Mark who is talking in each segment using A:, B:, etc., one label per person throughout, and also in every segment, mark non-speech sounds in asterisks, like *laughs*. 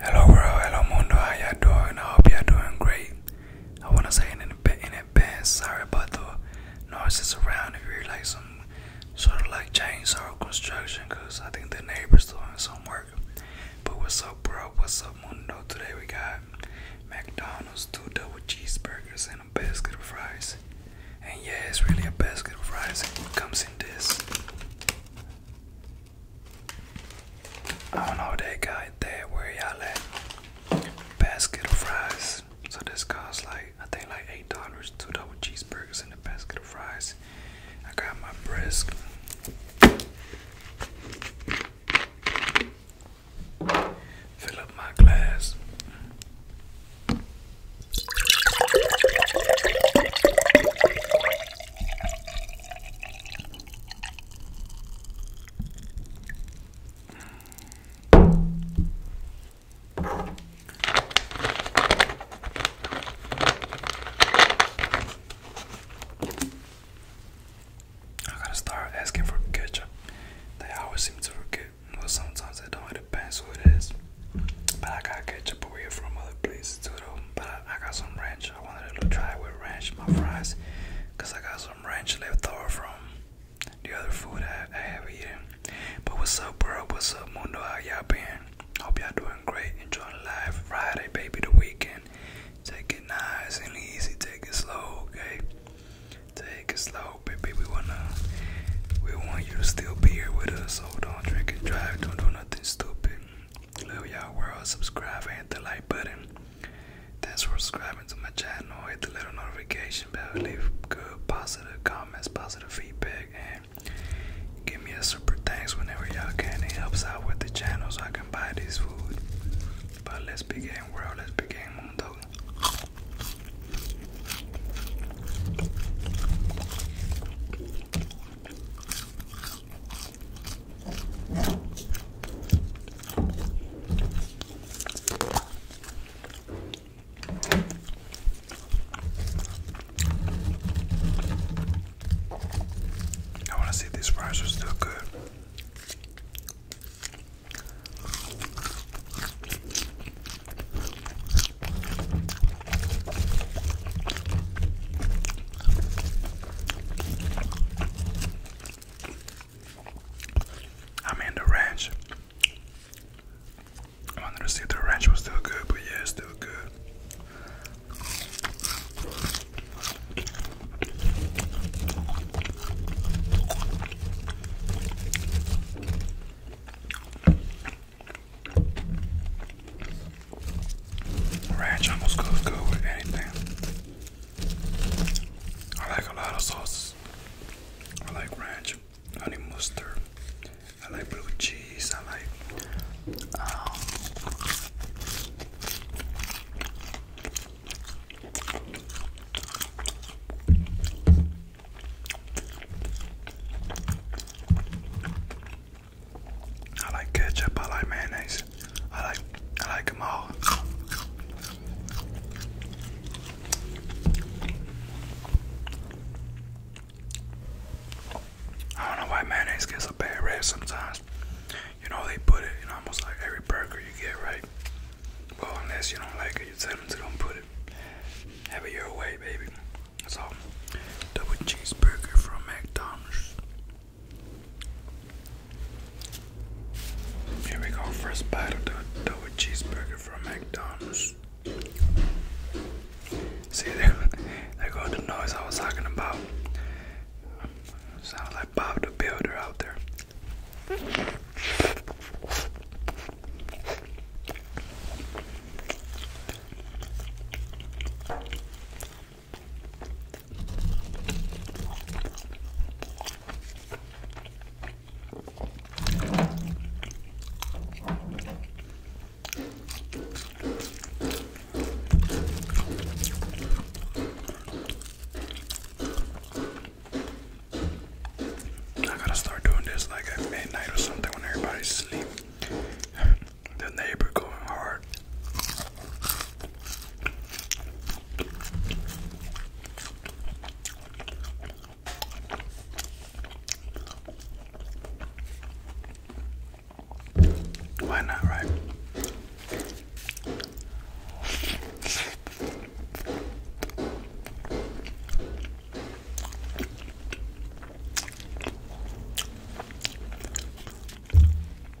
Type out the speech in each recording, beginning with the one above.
A: Hello world, hello mundo, how y'all doing? I hope y'all doing great. I want to say in, in advance, sorry about the noises around if you hear like some sort of like chainsaw or construction because I think the neighbor's doing some work. But what's up bro, what's up mundo? Today we got McDonald's two double cheeseburgers and a basket of fries. And yeah, it's really a basket of fries. It comes in this I don't know that guy there where y'all at. Basket of fries. So this costs like I think like eight dollars, two double cheeseburgers and a basket of fries. I got my brisk. Fill up my glass. I gotta start asking for ketchup. They always seem to forget. Well, sometimes they don't. It depends who it is. But I got ketchup over here from other places too, though. But I got some ranch I wanted to try with ranch my fries because I got some ranch left over from the other food I, I have eaten. But what's up, bro? What's up, Mundo? How y'all been? Hope y'all doing great. Enjoying life. Friday, baby, the weekend. Take it nice and easy. Take it slow, okay? Take it slow, baby. We wanna, we want you to still be here with us. So don't drink and drive. Don't do nothing stupid. Hello y'all world, subscribe and hit the like button. Thanks for subscribing to my channel. Hit the little notification bell, leave good positive comments, positive feedback, and give me a super thanks whenever y'all can. It helps out with the channel so I can buy this food. But let's begin world, let's begin mundo. I want to see if these fries are still good. I'm in the ranch. I wanted to see if the ranch was still good, but yeah, it's still good. Ranch almost goes good with anything. I like a lot of sauces. I like ranch, honey mustard. I like blue cheese. I like. Um, I like ketchup, I like mayonnaise, I like I like them all. I don't know why mayonnaise gets a bad rap sometimes. You know they put it in almost like every burger you get, right? Well, unless you don't like it, you tell them to don't put it. Have it your way, baby. That's all. Double cheeseburger from McDonald's. Here we go, first bite of the double cheeseburger from McDonald's. See, there, *laughs* there go the noise I was talking about. Sounds like Bob the Builder out there. I gotta start doing this like at midnight or something when everybody's asleep the neighbor going hard. Why not, right?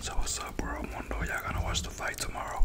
A: So what's up world mundo? Y'all gonna watch the fight tomorrow?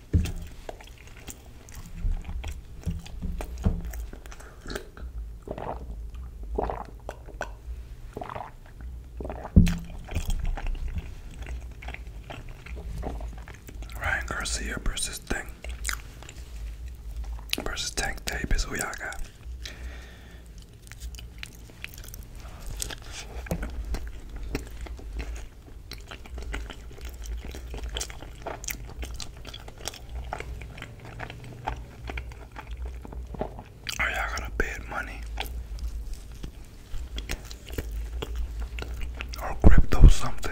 A: Ryan Garcia versus Tank versus Tank Davis who y'all got. Are y'all gonna bid money or crypto something?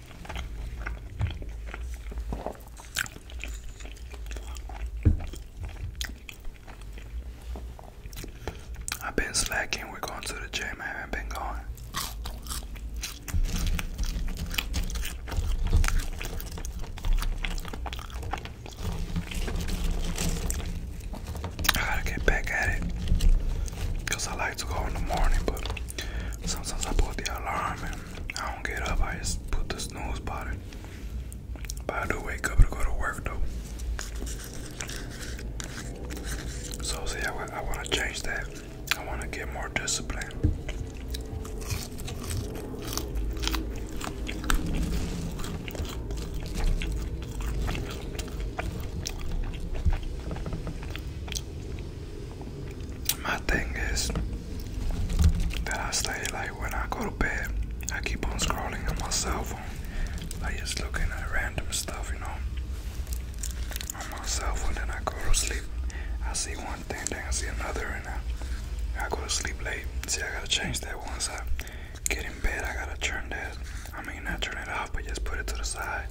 A: I've been slacking. We're going to the gym. I haven't been going. I gotta get back at it because I like to go in the morning, but sometimes I put the alarm and I don't get up. I just put the snooze button. But I do wake up to go to work though. So see, I, I want to change that. I want to get more discipline my thing is that I stay like when I go to bed, I keep on scrolling on my cell phone, like just looking at random stuff, you know, on my cell phone. Then I go to sleep, I see one thing, then I see another, and I, I go to sleep late. See, I gotta change that once I get in bed. I gotta turn that. I mean, not turn it off, but just put it to the side.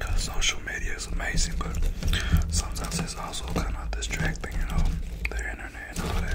A: Cause social media is amazing, but sometimes it's also kind of distracting, you know, the internet and all that.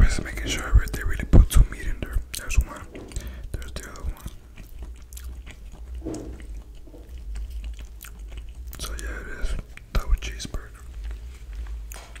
A: I'm just making sure they really put two meat in there. There's one. There's the other one. So yeah, it is double cheeseburger.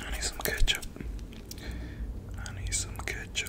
A: I need some ketchup. I need some ketchup.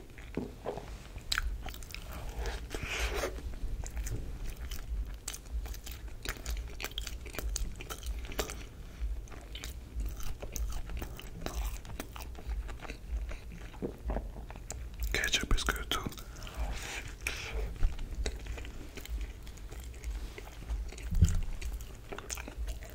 A: Ketchup is good too.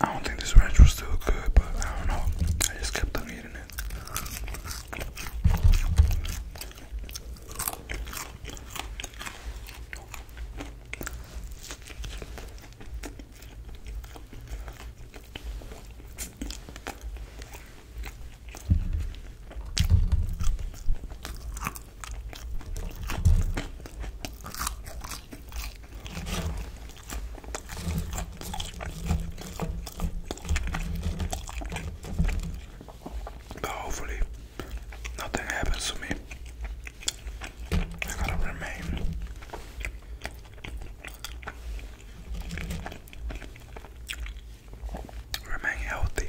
A: I don't think this ranch was still good, but I don't know. I just kept on eating it. But hopefully, nothing happens to me. I gotta remain. Remain healthy.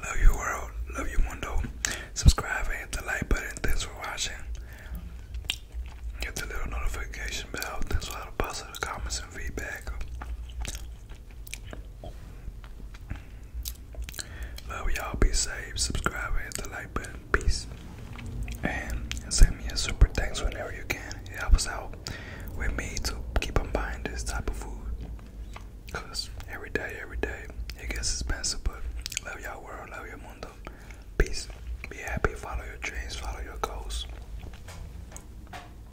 A: Love you world, love you mundo. Subscribe and hit the like button. Thanks for watching. Hit the little notification bell. Thanks for all the positive comments and feedback. Love y'all. Be safe. Subscribe hit the like button. Peace. And send me a super thanks whenever you can. It helps out with me to keep on buying this type of food. Cause every day, every day, it gets expensive. But love y'all world. Love your mundo. Peace. Be happy. Follow your dreams. Follow your goals.